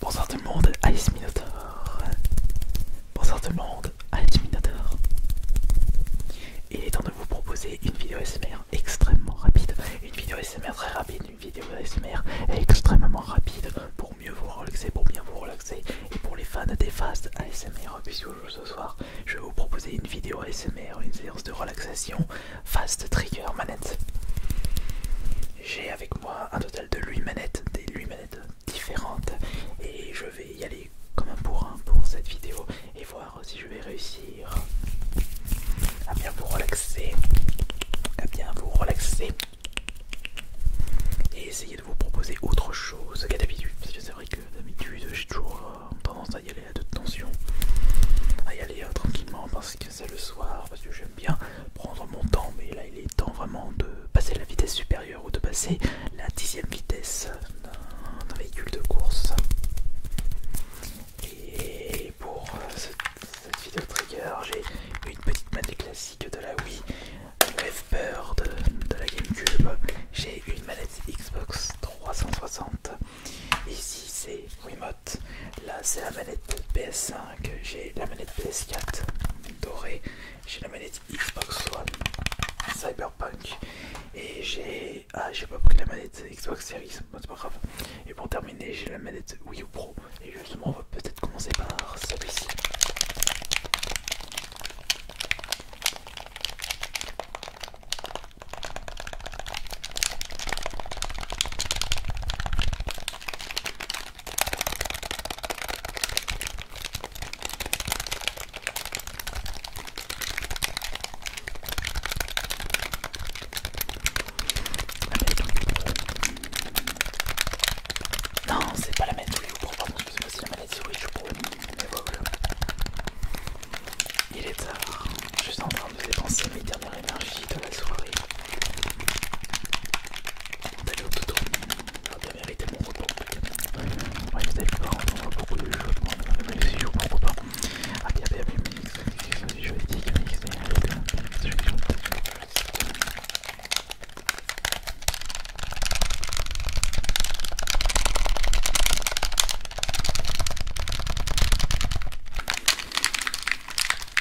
Bonsoir tout le monde, Ice Minotaur. Bonsoir tout le monde, Ice Minotaur. Il est temps de vous proposer une vidéo SMR extrêmement rapide, une vidéo SMR très rapide, une vidéo SMR extrêmement rapide pour mieux vous relaxer, pour bien vous relaxer et pour les fans des fast ASMR puisque ce soir je vais vous proposer une vidéo ASMR, une séance de relaxation fast trigger manette. J'ai avec moi un total de 8 manettes, des 8 manettes différentes et je vais y aller comme un bourrin pour cette vidéo et voir si je vais réussir à bien vous relaxer, à bien vous relaxer et essayer de vous proposer autre chose qu'à d'habitude parce que c'est vrai que d'habitude j'ai toujours euh, tendance à y aller à toute tension, à y aller euh, tranquillement parce que c'est le soir parce que j'aime bien prendre mon temps, mais là il est temps vraiment de passer la vitesse supérieure ou de passer la dixième vitesse d'un véhicule de course. Et pour cette, vidéo trigger, j'ai une petite manette classique de la Wii, Wave de, la GameCube, j'ai une manette Xbox 360. Ici c'est Mode. Là, c'est la manette PS5. J'ai la manette PS4 dorée. J'ai la manette Xbox One Cyberpunk. Et j'ai. Ah, j'ai pas pris la manette Xbox Series. mais c'est pas grave. Et pour terminer, j'ai la manette Wii U Pro. Et justement, on va peut-être commencer par celui-ci. Non, c'est pas la maladie ou pardon, c'est la maladie je Il est tard, je suis en train je de à mes dernières énergies de la soirée. D'ailleurs, tout on bien mérité mon repos. je vous avez On voit beaucoup de choses, mais si je pas. Ah, bien, bien, bien, mais je dis que je suis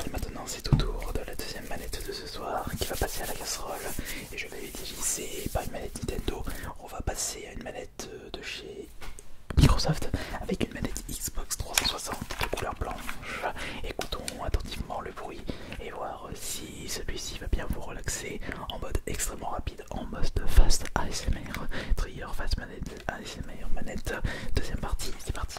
Allez maintenant c'est au tour de la deuxième manette de ce soir qui va passer à la casserole et je vais utiliser pas une manette Nintendo. On va passer à une manette euh, de chez Microsoft avec une manette Xbox 360 de couleur blanche. Écoutons attentivement le bruit et voir euh, si celui-ci va bien vous relaxer en mode extrêmement rapide, en mode fast ASMR. Trigger, fast manette ASMR manette. Deuxième partie, c'est parti.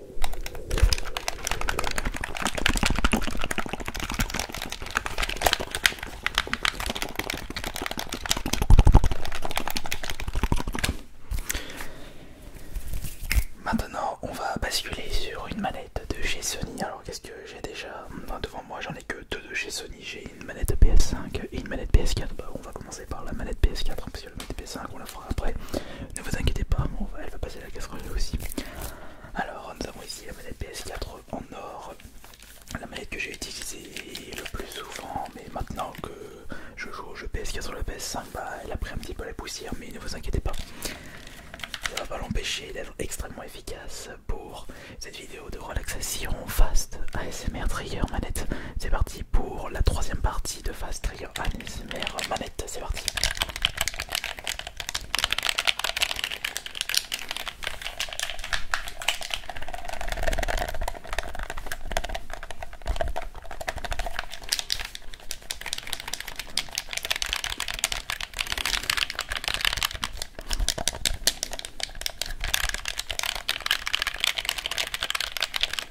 Maintenant, on va basculer sur une manette de chez Sony. Alors, qu'est-ce que j'ai déjà ben, devant moi J'en ai que deux de chez Sony. J'ai une manette PS5 et une manette PS4. Bah, on va commencer par la manette PS4 5 on la fera après. Ne vous inquiétez pas, elle va passer la casserole aussi. Alors, nous avons ici la manette PS4 en or, la manette que j'ai utilisée le plus souvent, mais maintenant que je joue au jeu PS4 sur le PS5, bah, elle a pris un petit peu la poussière, mais ne vous inquiétez pas. Ça va pas l'empêcher d'être extrêmement efficace pour cette vidéo de relaxation fast ASMR Trigger manette. C'est parti pour la troisième partie de Fast Trigger ASMR Manette. C'est parti.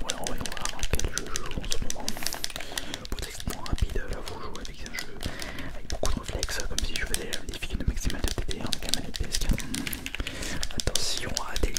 voilà, on va voir quel jeu je joue en ce moment. Pour être extrêmement rapide, là vous jouez avec un jeu avec beaucoup de réflexes, comme si je faisais la vérification de maximal de TD avec un manette PS4. Attention à délirer.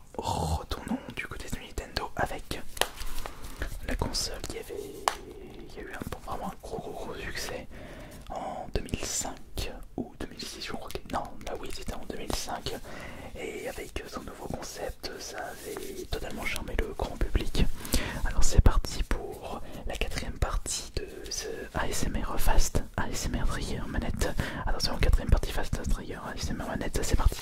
retournons du côté de Nintendo avec la console qui avait a eu un, vraiment gros, gros succès en 2005 ou 2006 je crois que non bah c'était en 2005 et avec son nouveau concept ça avait totalement charmé le grand public alors c'est parti pour la quatrième partie de ce ASMR Fast Allez c'est trigger manette. Attention, quatrième partie fast c'est ma manette, c'est parti.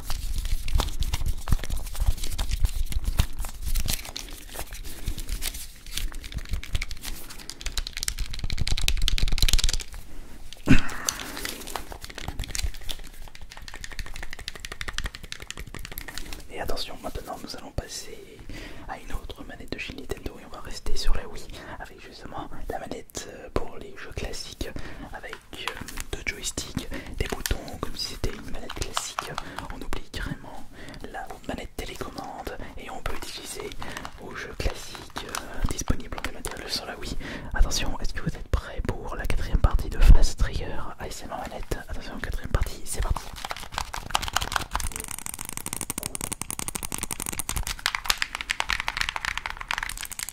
Et attention, maintenant nous allons passer à une autre manette de chez Nintendo et on va rester sur la Wii avec justement la manette euh, pour les jeux classiques euh, de joystick, joysticks, des boutons comme si c'était une manette classique. On oublie carrément la manette télécommande et on peut utiliser au jeu classique euh, Disponible en matériel sur la Wii. Attention, est-ce que vous êtes prêts pour la quatrième partie de Fast Trigger ASMR manette Attention, quatrième partie, c'est parti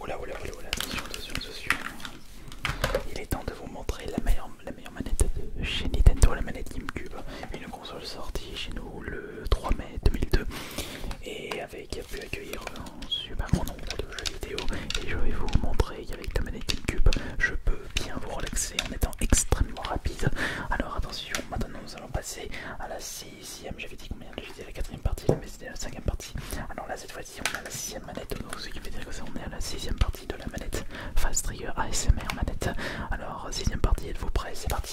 Oula, oula, oula, oula, Il est temps de vous montrer la meilleure, manette de chez Nintendo, la manette GameCube. Une console sortie chez nous le 3 mai 2002 qui a pu accueillir un super grand nombre de jeux vidéo et je vais vous montrer qu'avec la manette Cube, je peux bien vous relaxer en étant extrêmement rapide. Alors attention, maintenant nous allons passer à la sixième, j'avais dit combien j'étais à la quatrième partie, mais c'était la cinquième partie. Alors là cette fois-ci on est à la sixième manette, donc ce qui veut dire que ça on est à la sixième partie de la manette Fast Trigger ASMR manette. Alors sixième partie, êtes-vous prêts C'est parti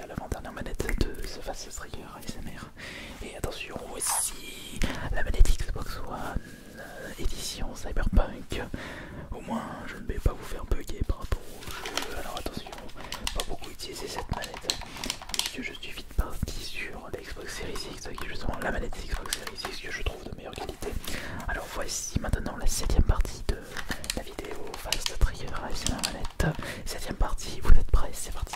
l'avant-dernière manette de ce Fast Trigger ASMR. Et attention aussi, la manette Xbox One euh, édition Cyberpunk. Au moins, je ne vais pas vous faire bugger par rapport au jeu. Alors attention, pas beaucoup utiliser cette manette, puisque je suis vite parti sur la Xbox Series X, qui est justement la manette Xbox Series X que je trouve de meilleure qualité. Alors voici maintenant la septième partie de la vidéo Fast Trigger la Manette. Septième partie, vous êtes prêts C'est parti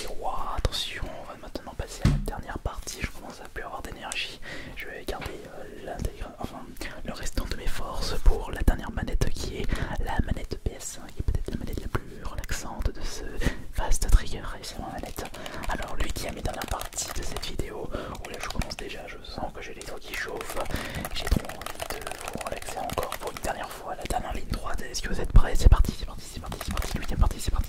Et attention, on va maintenant passer à la dernière partie. Je commence à plus avoir d'énergie. Je vais garder euh, le restant de mes forces pour la dernière manette qui est la manette PS1, hein, qui est peut-être la manette la plus relaxante de ce vaste trigger. Et c'est ma manette. Alors, lui qui a mis dans la partie de cette vidéo, où oh là je commence déjà, je sens que j'ai les doigts qui chauffent. J'ai trop envie de vous relaxer encore pour une dernière voilà, dame en ligne droite. Est-ce que vous êtes prêts C'est parti, c'est parti, c'est parti, c'est parti. Huitième partie, c'est parti.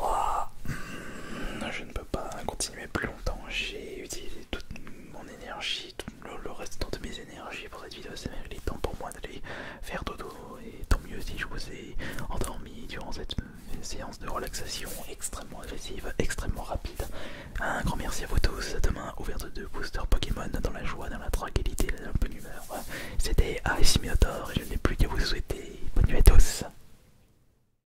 Ah, je ne peux pas continuer plus longtemps j'ai utilisé toute mon énergie, tout le, reste de mes énergies pour cette vidéo, c'est même le temps pour moi d'aller faire dodo et tant mieux si je vous ai endormi durant cette séance de relaxation extrêmement agressive, extrêmement rapide. Un grand merci à vous tous, demain ouverte de booster Pokémon dans la joie, dans la tranquillité, dans la bonne humeur. C'était Minotaur et je n'ai plus qu'à vous souhaiter bonne nuit à tous.